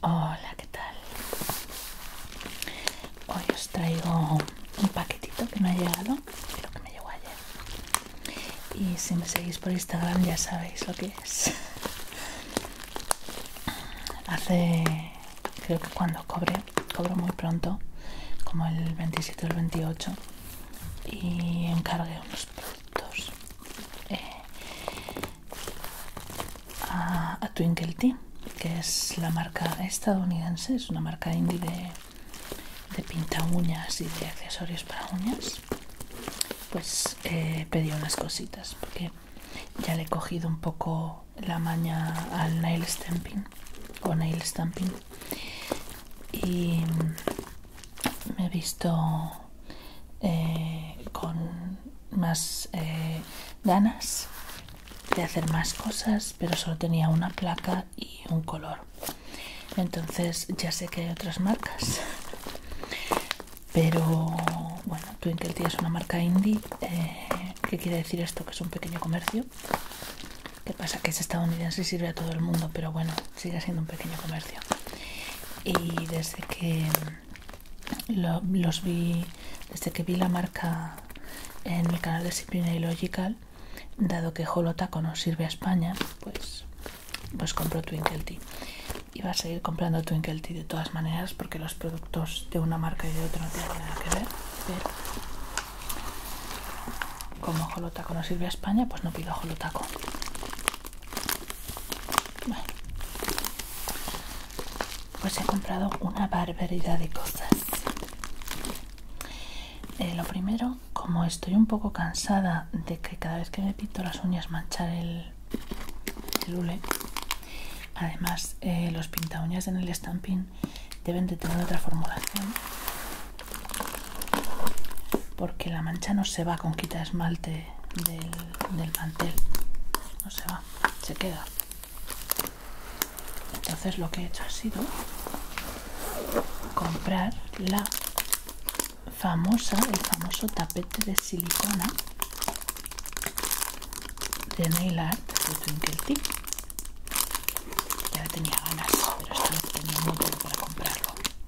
Hola, ¿qué tal? Hoy os traigo un paquetito que me ha llegado, creo que me llegó ayer. Y si me seguís por Instagram ya sabéis lo que es. Hace, creo que cuando cobre, cobro muy pronto, como el 27 o el 28, y encargué unos eh, a, Twinkle Team que es la marca estadounidense, es una marca indie de, pinta uñas y de accesorios para uñas. Pues eh, pedí unas cositas porque ya le he cogido un poco la maña al nail stamping con nail stamping y me he visto eh, con más eh, ganas de hacer más cosas, pero solo tenía una placa y un color. Entonces ya sé que hay otras marcas, pero bueno, Twinkletea es una marca indie. Eh, ¿Qué quiere decir esto? Que es un pequeño comercio. ¿Qué pasa? Que es estadounidense y sirve a todo el mundo, pero bueno, sigue siendo un pequeño comercio. Y desde que los vi, desde que vi la marca en mi canal de Disciplina y Logical, dado que Holotaco no sirve a España, pues, pues compro Twinkle Tea. Y va a seguir comprando Twinkle Tea de todas maneras porque los productos de una marca y de otra no tienen nada que ver. Pero como Jolotaco no sirve a España, pues no pido Jolotaco. pues he comprado una barbaridad de cosas. Eh, lo primero, como estoy un poco cansada de que cada vez que me pinto las uñas manchar el, lule, además eh, los pinta uñas en el stamping deben de tener otra formulación porque la mancha no se va con quita esmalte del, mantel no se va se queda entonces lo que he hecho ha sido comprar la famosa el famoso tapete de silicona de nail art de Twinkle Tea ya tenía ganas pero estaba teniendo muy para comprarlo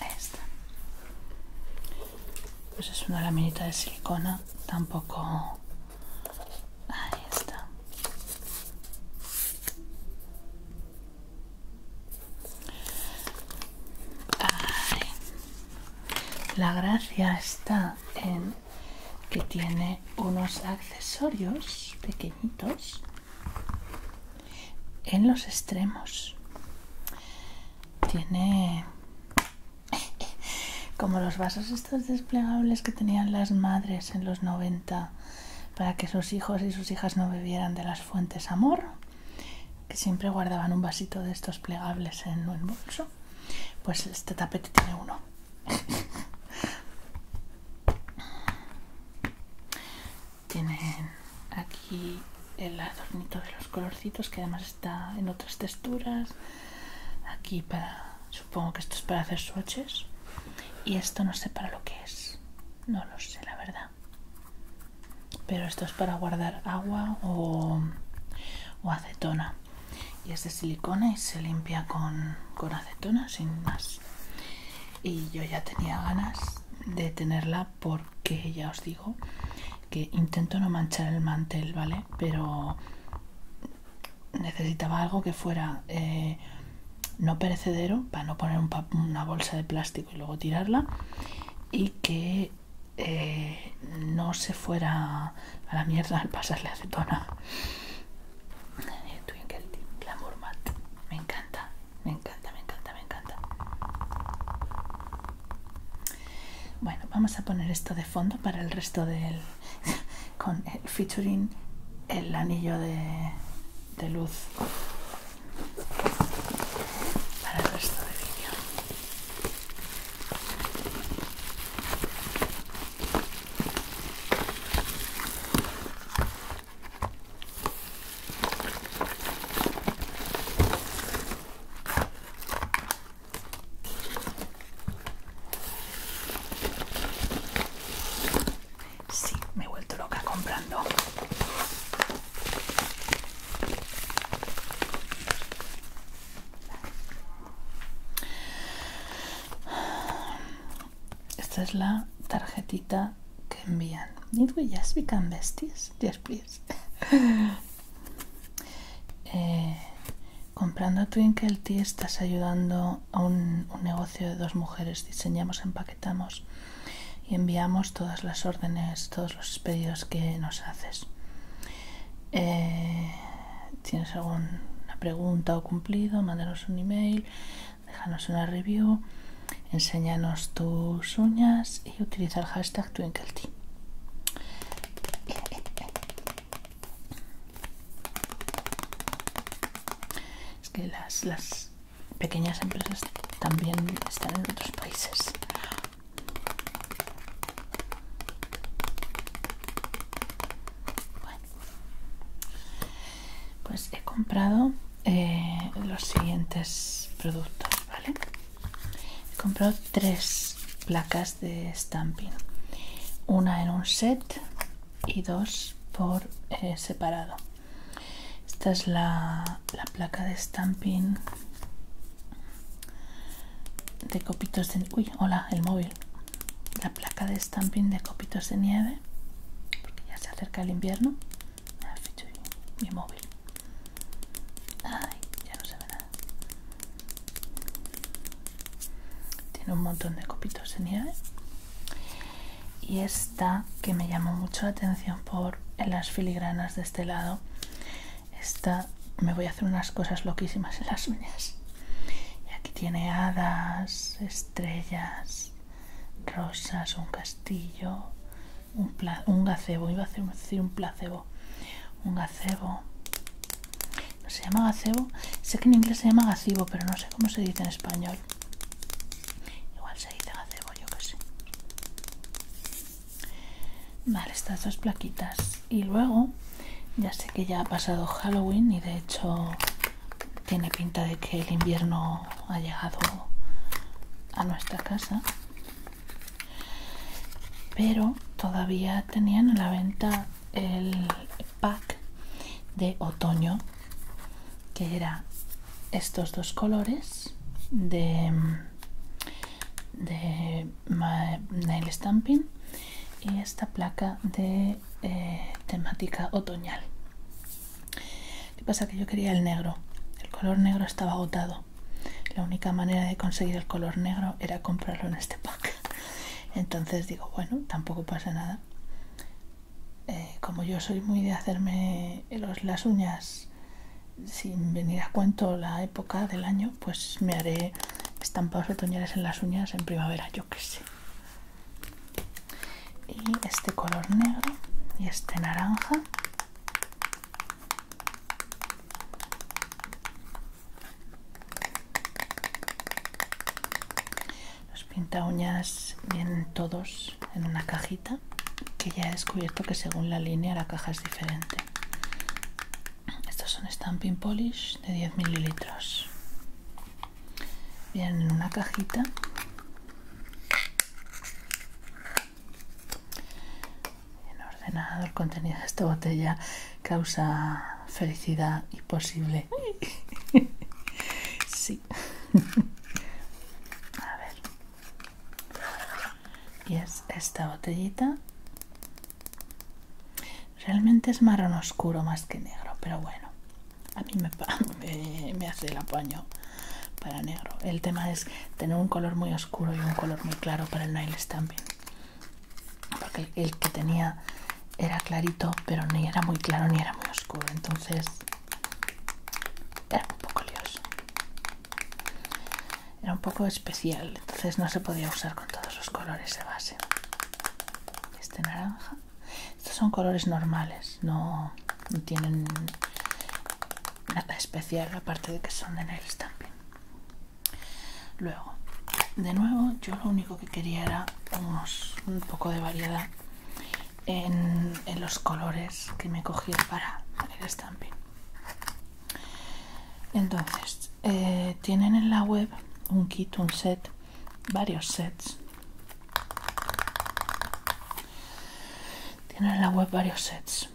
Ahí Pues es una laminita de silicona, tampoco... Ahí está. La gracia está en que tiene unos accesorios pequeñitos en los extremos. Tiene como los vasos estos desplegables que tenían las madres en los 90 para que sus hijos y sus hijas no bebieran de las fuentes amor que siempre guardaban un vasito de estos plegables en el bolso pues este tapete tiene uno tienen aquí el adornito de los colorcitos que además está en otras texturas aquí para supongo que esto es para hacer swatches y esto no sé para lo que es no lo sé la verdad pero esto es para guardar agua o, acetona y es de silicona y se limpia con, acetona sin más y yo ya tenía ganas de tenerla porque ya os digo que intento no manchar el mantel vale pero necesitaba algo que fuera eh, no perecedero para no poner una bolsa de plástico y luego tirarla y que eh, no se fuera a la mierda al pasarle acetona. Twinkle Glamour Matte. Me encanta, me encanta, me encanta, me encanta. Bueno, vamos a poner esto de fondo para el resto del... con el featuring el anillo de luz para el resto del vídeo. Sí, me he vuelto loca comprando esta es la tarjetita que envían. Need we just become besties? Yes, please. Eh, comprando Twinkle Tea estás ayudando a un, negocio de dos mujeres. Diseñamos en y enviamos todas las órdenes, todos los pedidos que nos haces. Eh, ¿Tienes alguna pregunta o cumplido? Mándanos un email, déjanos una review, enséñanos tus uñas y utiliza el hashtag TwinkleT. Es que las, las pequeñas empresas también están en otros países. pues he comprado eh, los siguientes productos, He comprado tres placas de stamping, una en un set y dos por eh, separado. Esta es la, placa de stamping de copitos de... Uy, hola, el móvil. La placa de stamping de copitos de nieve. Porque ya se acerca el invierno. Ah, mi móvil. Ay, ya no se ve Tiene un montón de copitos de nieve y esta que me llamó mucho la atención por las filigranas de este lado esta me voy a hacer unas cosas loquísimas en las uñas y aquí tiene hadas estrellas rosas un castillo un, gazebo iba a decir un placebo un gazebo ¿No se llama gazebo sé que en inglés se llama gazebo pero no sé cómo se dice en español igual se dice gazebo yo Vale, estas dos plaquitas. Y luego, ya sé que ya ha pasado Halloween y de hecho tiene pinta de que el invierno ha llegado a nuestra casa. Pero todavía tenían a la venta el pack de otoño que era estos dos colores de nail stamping y esta placa de eh, temática otoñal ¿Qué pasa? Que yo quería el negro. El color negro estaba agotado. La única manera de conseguir el color negro era comprarlo en este pack. Entonces digo, bueno, tampoco pasa nada. Eh, como yo soy muy de hacerme las uñas sin venir a cuento la época del año, pues me haré estampados otoñales en las uñas en primavera, yo que sé. Y este color negro y este naranja. Los pinta uñas vienen todos en una cajita que ya he descubierto que según la línea la caja es diferente estos son stamping polish de 10 mililitros vienen en una cajita bien ordenado el contenido de esta botella causa felicidad imposible sí a ver y es esta botellita realmente es marrón oscuro más que negro pero bueno a mí me, hace el apaño para negro el tema es tener un color muy oscuro y un color muy claro para el nail stamping porque el que tenía era clarito pero ni era muy claro ni era muy oscuro entonces era un poco lioso era un poco especial entonces no se podía usar con todos los colores de base este naranja estos son colores normales no, tienen nada especial aparte de que son de nail stamping luego de nuevo yo lo único que quería era un poco de variedad en, los colores que me cogí para el stamping Entonces, eh, tienen en la web un kit, un set, varios sets. Tienen en la web varios sets.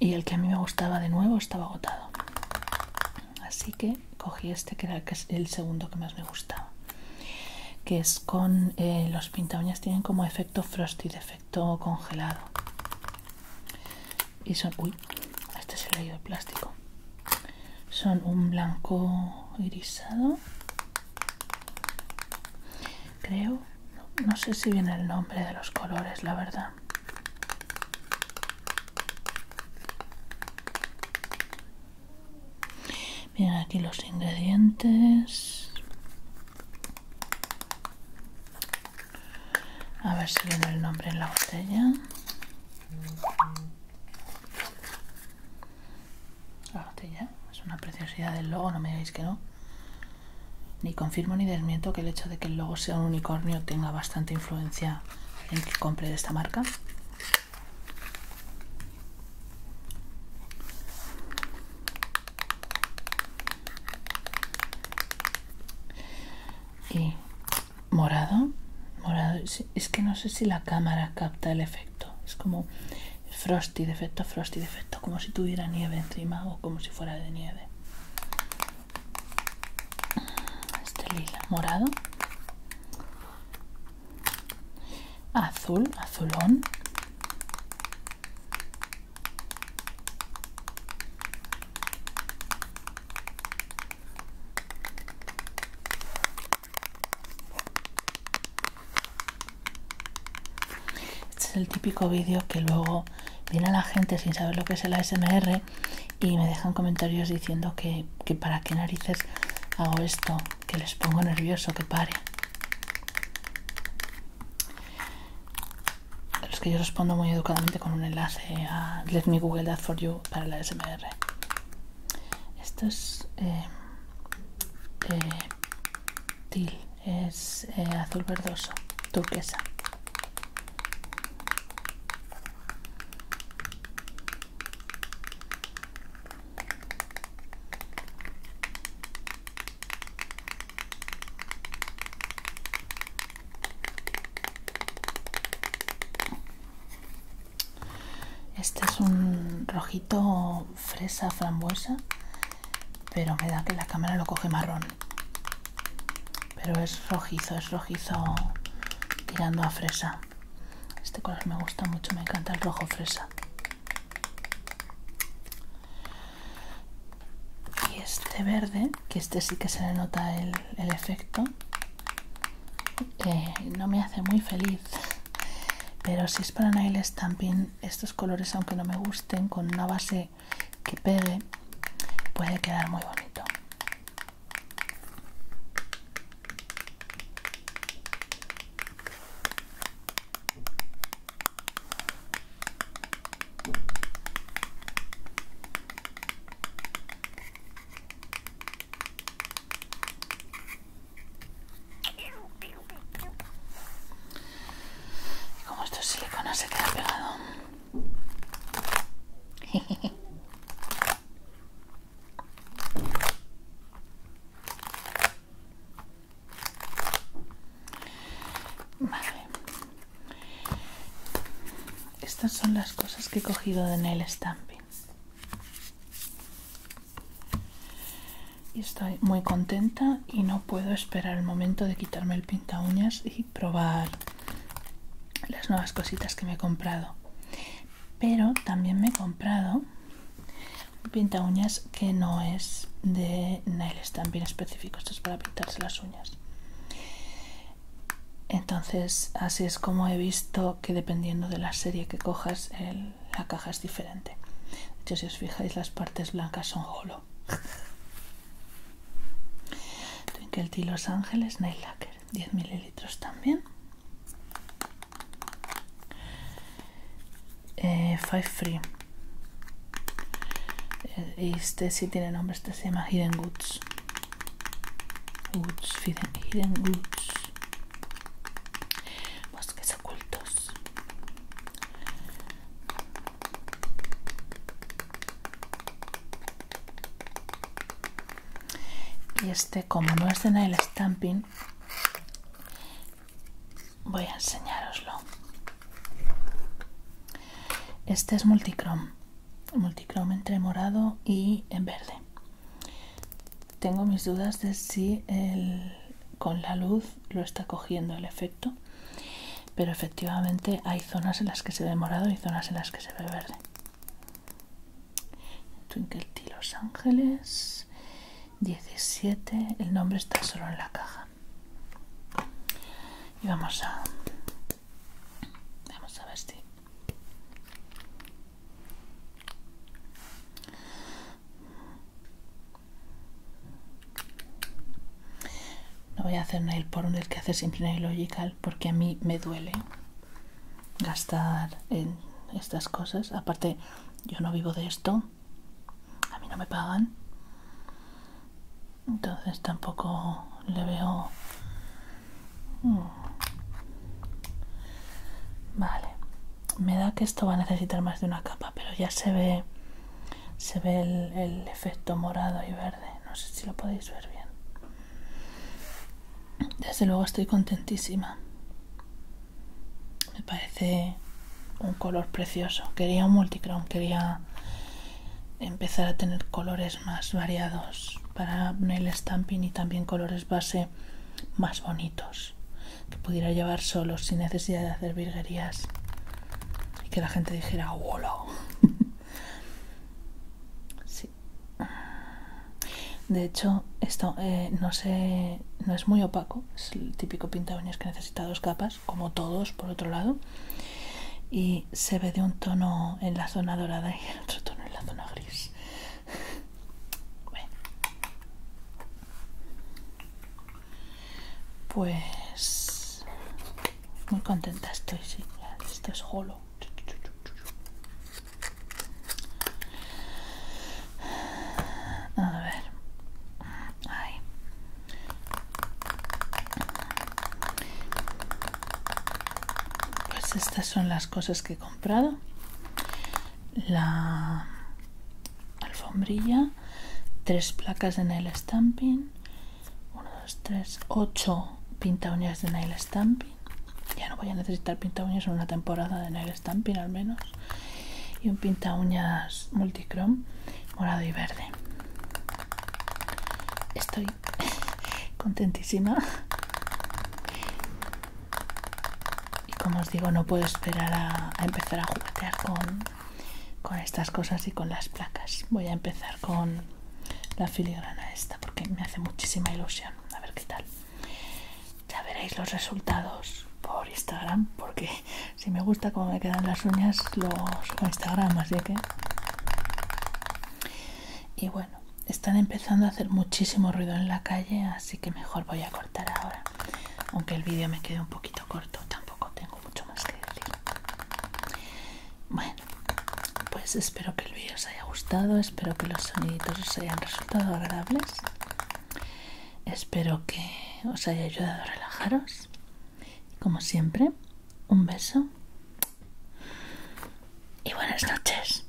Y el que a mí me gustaba de nuevo estaba agotado. Así que cogí este que era el segundo que más me gustaba que es con eh, los pinta tienen como efecto frosty, efecto congelado y son, uy, este se le ha ido plástico son un blanco irisado creo no sé si viene el nombre de los colores la verdad Miren aquí los ingredientes. A ver si viene el nombre en la botella. La botella es una preciosidad del logo, no me digáis que no. Ni confirmo ni desmiento que el hecho de que el logo sea un unicornio tenga bastante influencia en que compre de esta marca y morado morado es que no sé si la cámara capta el efecto es como frosty de efecto frosty de efecto como si tuviera nieve encima o como si fuera de nieve este lila morado azul, azulón. Este es el típico vídeo que luego viene la gente sin saber lo que es el ASMR y me dejan comentarios diciendo que, que para qué narices hago esto que les pongo nervioso, que pare. los que yo respondo muy educadamente con un enlace a Let me Google that for you para la SMR. Esto es eh, eh es eh, azul verdoso, turquesa. Este es un rojito fresa frambuesa, pero me da que la cámara lo coge marrón. Pero es rojizo, es rojizo tirando a fresa. Este color me gusta mucho, me encanta el rojo fresa y este verde que este sí que se le nota el, efecto no me hace muy feliz pero si es para nail stamping estos colores aunque no me gusten con una base que pegue puede quedar muy bonito y como estos siliconas se queda pegado. Vale. Estas son las cosas que he cogido de el stamping. Y estoy muy contenta y no puedo esperar el momento de quitarme el pinta uñas y probar las nuevas cositas que me he comprado. Pero también me he comprado pinta uñas que no es de nail tan bien específico esto es para pintarse las uñas entonces así es como he visto que dependiendo de la serie que cojas la caja es diferente de hecho si os fijáis las partes blancas son holo Twinkle Los Ángeles Nail Lacker 10 mililitros también eh, Five Free eh, este sí tiene nombre, este se llama Hidden Goods Hidden, Goods Bosques ocultos y este como no es de nail Stamping Voy a enseñároslo. Este es multicrom. Multicrom entre morado y en verde. Tengo mis dudas de si con la luz lo está cogiendo el efecto. Pero efectivamente hay zonas en las que se ve morado y zonas en las que se ve verde. Twinkle Los Ángeles 17 el nombre está solo en la caja y vamos a vamos a ver si no voy a hacer nail por un del que hace siempre nail logical porque a mí me duele gastar en estas cosas. Aparte, yo no vivo de esto. A mí no me pagan. Entonces tampoco le veo... Mm, vale. Me da que esto va a necesitar más de una capa, pero ya se ve... Se ve el efecto morado y verde. No sé si lo podéis ver bien. Desde luego estoy contentísima. Me parece un color precioso. Quería un multicrown, quería empezar a tener colores más variados para nail stamping y también colores base más bonitos que pudiera llevar solo sin necesidad de hacer virguerías y que la gente dijera wow De hecho, esto eh, no, es muy opaco, es el típico pinta uñas que necesita dos capas, como todos por otro lado, y se ve de un tono en la zona dorada y el otro tono en la zona gris. Pues muy contenta estoy, sí, esto es holo. A ver. Pues estas son las cosas que he comprado. La alfombrilla, tres placas de nail stamping, Uno, dos, tres, ocho pinta uñas de nail stamping ya no voy a necesitar pinta uñas en una temporada de nail stamping al menos y un pinta uñas multicrom morado y verde estoy contentísima y como os digo no puedo esperar a, empezar a juguetear con, con estas cosas y con las placas voy a empezar con la filigrana esta porque me hace muchísima ilusión a ver qué tal ya veréis los resultados por Instagram, porque si me gusta cómo me quedan las uñas, los subo Instagram, así que... Y bueno, están empezando a hacer muchísimo ruido en la calle, así que mejor voy a cortar ahora. Aunque el vídeo me quede un poquito corto, tampoco tengo mucho más que decir. Bueno, pues espero que el vídeo os haya gustado espero que los soniditos os hayan resultado agradables espero que os haya ayudado a relajaros como siempre un beso y buenas noches